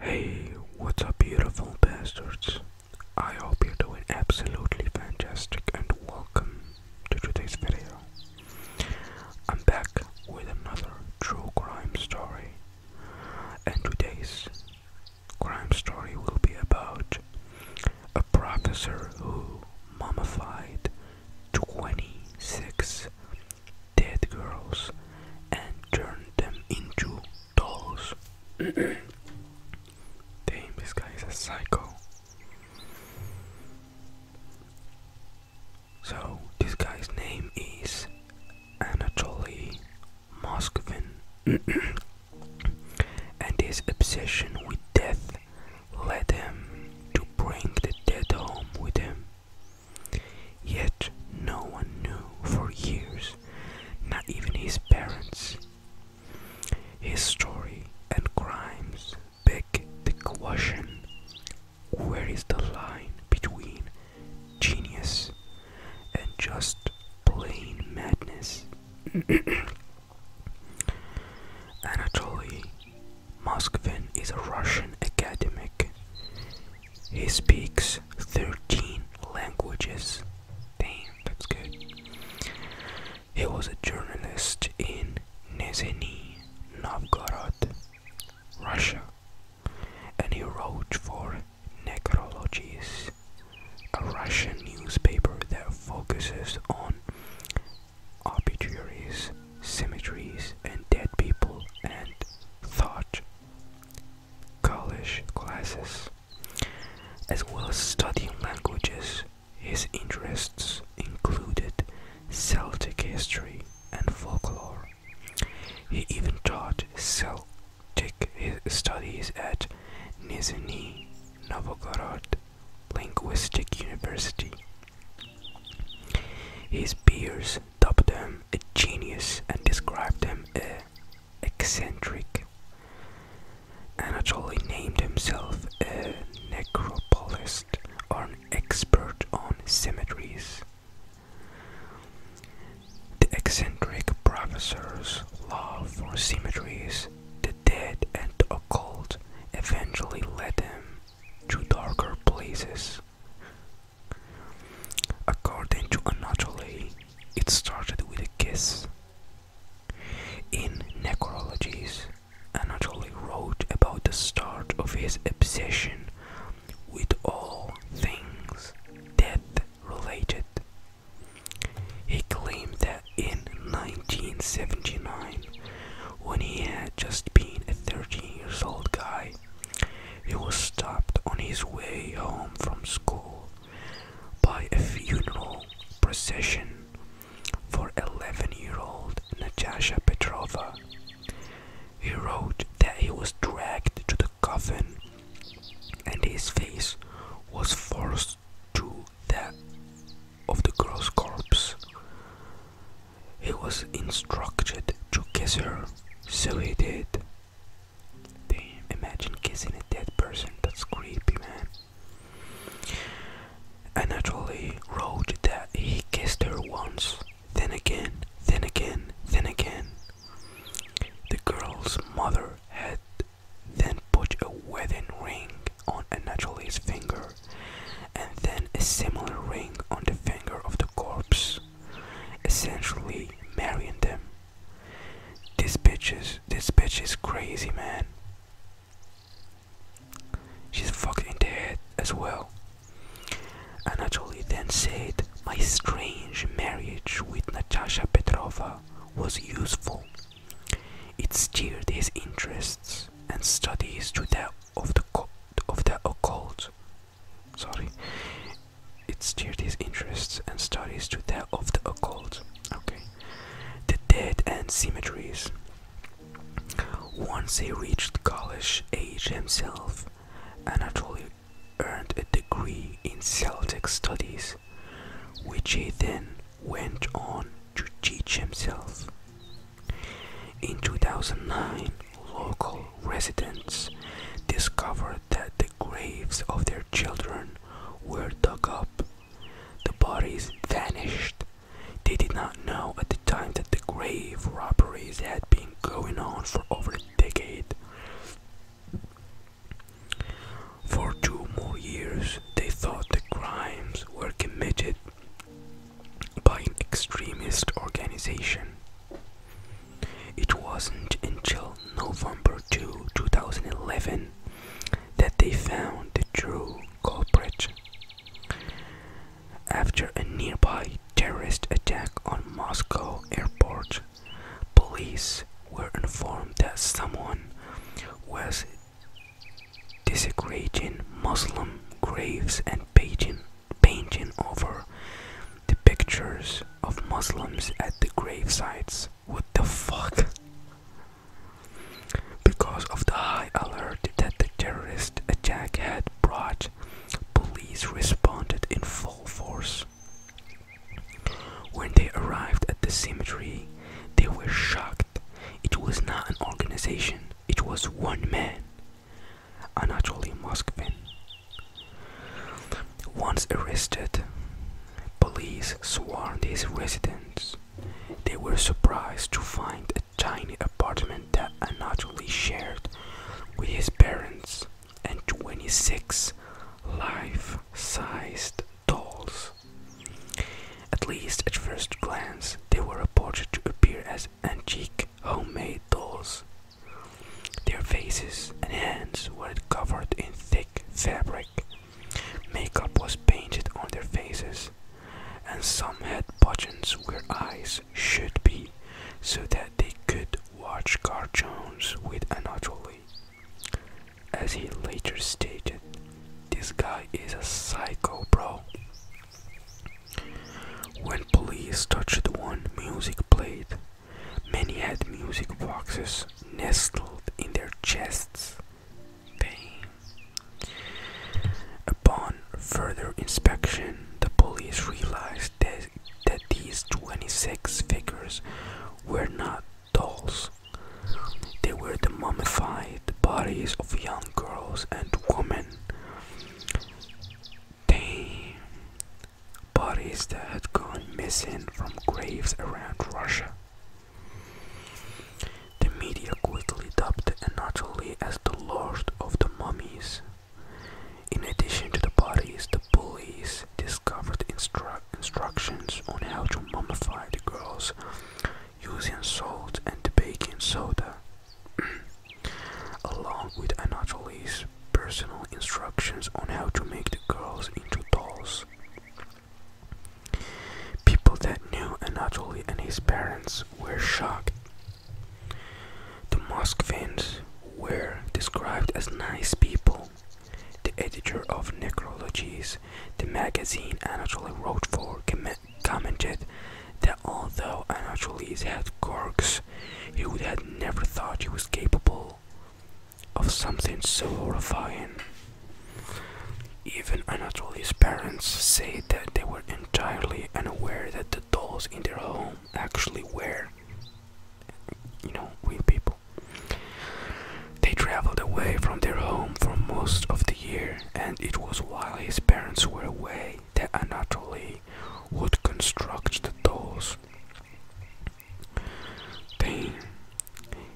Hey, what's up, beautiful bastards? I hope you're doing absolutely fantastic and welcome to today's video. I'm back with another true crime story, and today's crime story will be about a professor who mummified 26 dead girls and turned them into dolls. Damn, this guy is a psycho. So, this guy's name is Anatoly Moskvin, and his obsession with death led him to bring the dead home with him. Yet no one knew for years, not even his parents. His story and crimes beg the question where is the line between genius and just plain madness? Anatoly Moskvin is a Russian academic he speaks 13 languages. Damn, that's good. He was a journalist in Nezheny Novgorod, Russia, and he wrote for Necrologies, a Russian newspaper that focuses on obituaries, cemeteries, and dead people and thought college classes, as well as studying languages. His interests included Celtic history and folklore. He even taught Celtic studies at Nizhny Novgorod Linguistic University. His peers critics dubbed him a genius and described him as eccentric. Anatoly named himself a necropolist or an expert on cemeteries. The eccentric professor's love for cemeteries, the dead, and the occult eventually led him to darker places According to Anatoly, it started with a kiss. In Necrologies, Anatoly wrote about the start of his obsession with all things death related. He claimed that in 1979, when he had just been a 13 years old guy, he was stopped on his way home from school by a funeral procession for 11 year old Natasha Petrova. He wrote that he was dragged to the coffin and his face was forced to that of the girl's corpse. He was instructed to kiss her, so he did. Damn, imagine kissing a dead person, that's creepy, man. I naturally wrote that he kissed her once, then again, then again, then again. The girl's mother had then put a wedding ring on Anatoly's finger, and then a similar ring on the finger of the corpse, essentially marrying them. This bitch is this bitch is crazy, man. She's fucking dead as well. And Anatoly then said, My strange marriage with Natasha Petrova was useful. It steered his interests and studies to that of the occult sorry it steered his interests and studies to that of the occult okay the dead and cemeteries once he reached college age himself anatoly earned a degree in celtic studies which he then went on to teach himself in 2009 local residents discovered that the graves of their children were dug up. The bodies vanished. They did not know at the time that the grave robberies had been going on for over a decade. For two more years, they thought the crimes were committed by an extremist organization. It wasn't until November 2, 2011 that they found the true culprit. After a nearby terrorist attack on Moscow airport, police were informed that someone was desecrating Muslim graves and painting, painting over the pictures of Muslims at the gravesites. sites. What the fuck? Because of the high alert that the terrorist attack had brought, police responded in full force. When they arrived at the cemetery, they were shocked. It was not an organization, it was one man, Anatoly Moskvin, once arrested, police swarmed his residence. They were surprised to find a tiny apartment that Anatoly shared with his parents and 26 life sized dolls. At least at first glance, they were reported to appear as antique homemade dolls their faces and hands were covered in thick fabric. Makeup was painted on their faces, and some had buttons where eyes should be so that they could watch cartoons with Anatoly. As he later stated, this guy is a psycho, bro. When police touched one, music played. Many had music boxes nestled in their chests. They. Upon further inspection, the police realized that, that these 26 figures were not dolls. They were the mummified bodies of young girls and women. They bodies that had gone missing from graves around Russia. The media quickly dubbed Anatoly as the Lord of the Mummies. In addition to the bodies, the police discovered instructions on how to mummify the girls using salt and baking soda. Along with Anatoly's personal instructions on how to make the girls into dolls. People that knew Anatoly and his parents were shocked. The mosque fans were described as nice people. The editor of Necrologies, the magazine Anatoly wrote for, commented that although Anatoly had quirks, he would have never thought he was capable of something so horrifying. Even Anatoly's parents say that they were entirely unaware that the dolls in their home actually were, you know, real people. They traveled away from their home for most of the year, and it was while his parents were away that Anatoly would construct the dolls. Then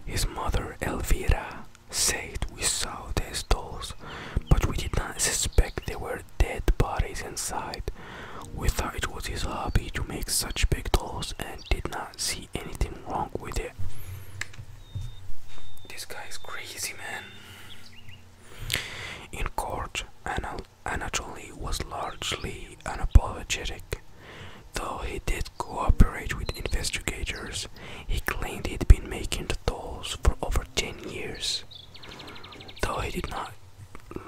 his mother Elvira said we saw these dolls, but we did not suspect there were dead bodies inside. We thought it was his hobby to make such big dolls and did not see anything wrong with it. This guy is crazy, man. In court, Anna Anatoly was largely unapologetic. Though he did cooperate with investigators, he claimed he'd been making the dolls for over 10 years. Though he did not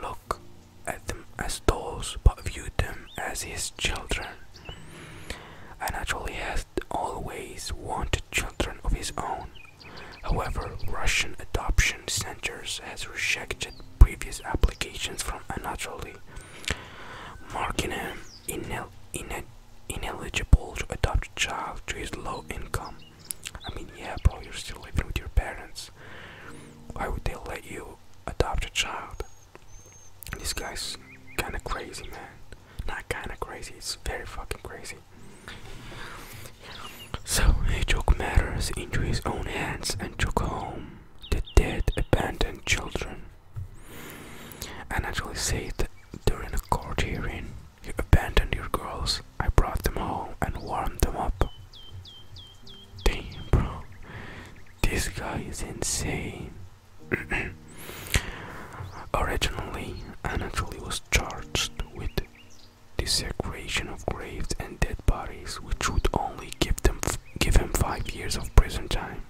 look at them as dolls but viewed them as his children. Anatoly has always wanted children of his own. However, Russian adoption centers has rejected previous applications from a unnaturally, marking him ineligible to adopt a child to his low income. I mean, yeah, bro, you're still living with your parents. Why would they let you adopt a child? This guy's kind of crazy, man. Not kind of crazy, it's very fucking crazy. So he took matters into his own hands and took home the dead abandoned children. And actually said during a court hearing, you abandoned your girls. I brought them home and warmed them up. Damn, bro. This guy is insane. Originally, Anatoly was charged with desecration of graves and dead bodies, which would only give them give him five years of prison time.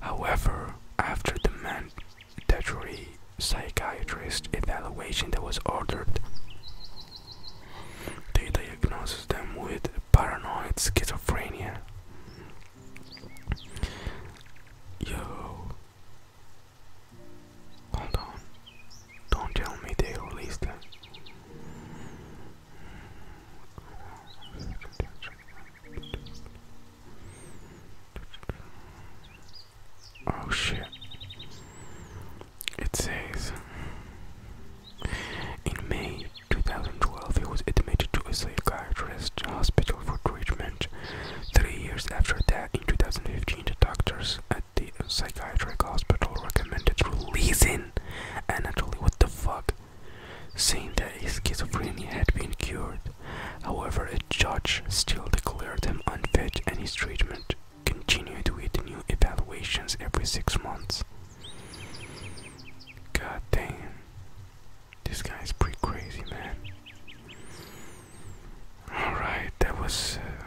However, after the mandatory psychiatrist evaluation that was ordered, they diagnosed them with paranoid schizophrenia. Yo, hold on, don't tell me they released them. Oh shit. It says In May 2012 he was admitted to a psychiatrist hospital for treatment. Three years after that, in 2015, the doctors at the psychiatric hospital recommended releasing Anatoly, what the fuck, Seeing that his schizophrenia had been cured. However, a judge still declared him unfit and his treatment continued with new evaluations every six months. God damn. This guy is pretty crazy, man. Alright, that was uh,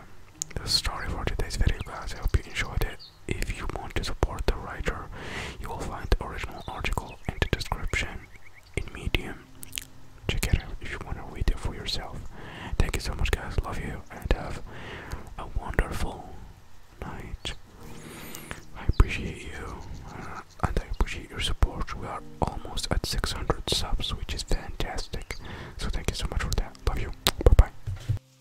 the story for today's video, guys. I hope you enjoyed it. If you want to support the writer, you will find the original article in the description in Medium. Check it out if you want to read it for yourself. Thank you so much, guys. Love you and have a wonderful night. I appreciate you uh, and I appreciate your support. We are almost at 600 subs, which is fantastic. So, thank you so much for that. Love you. Bye bye.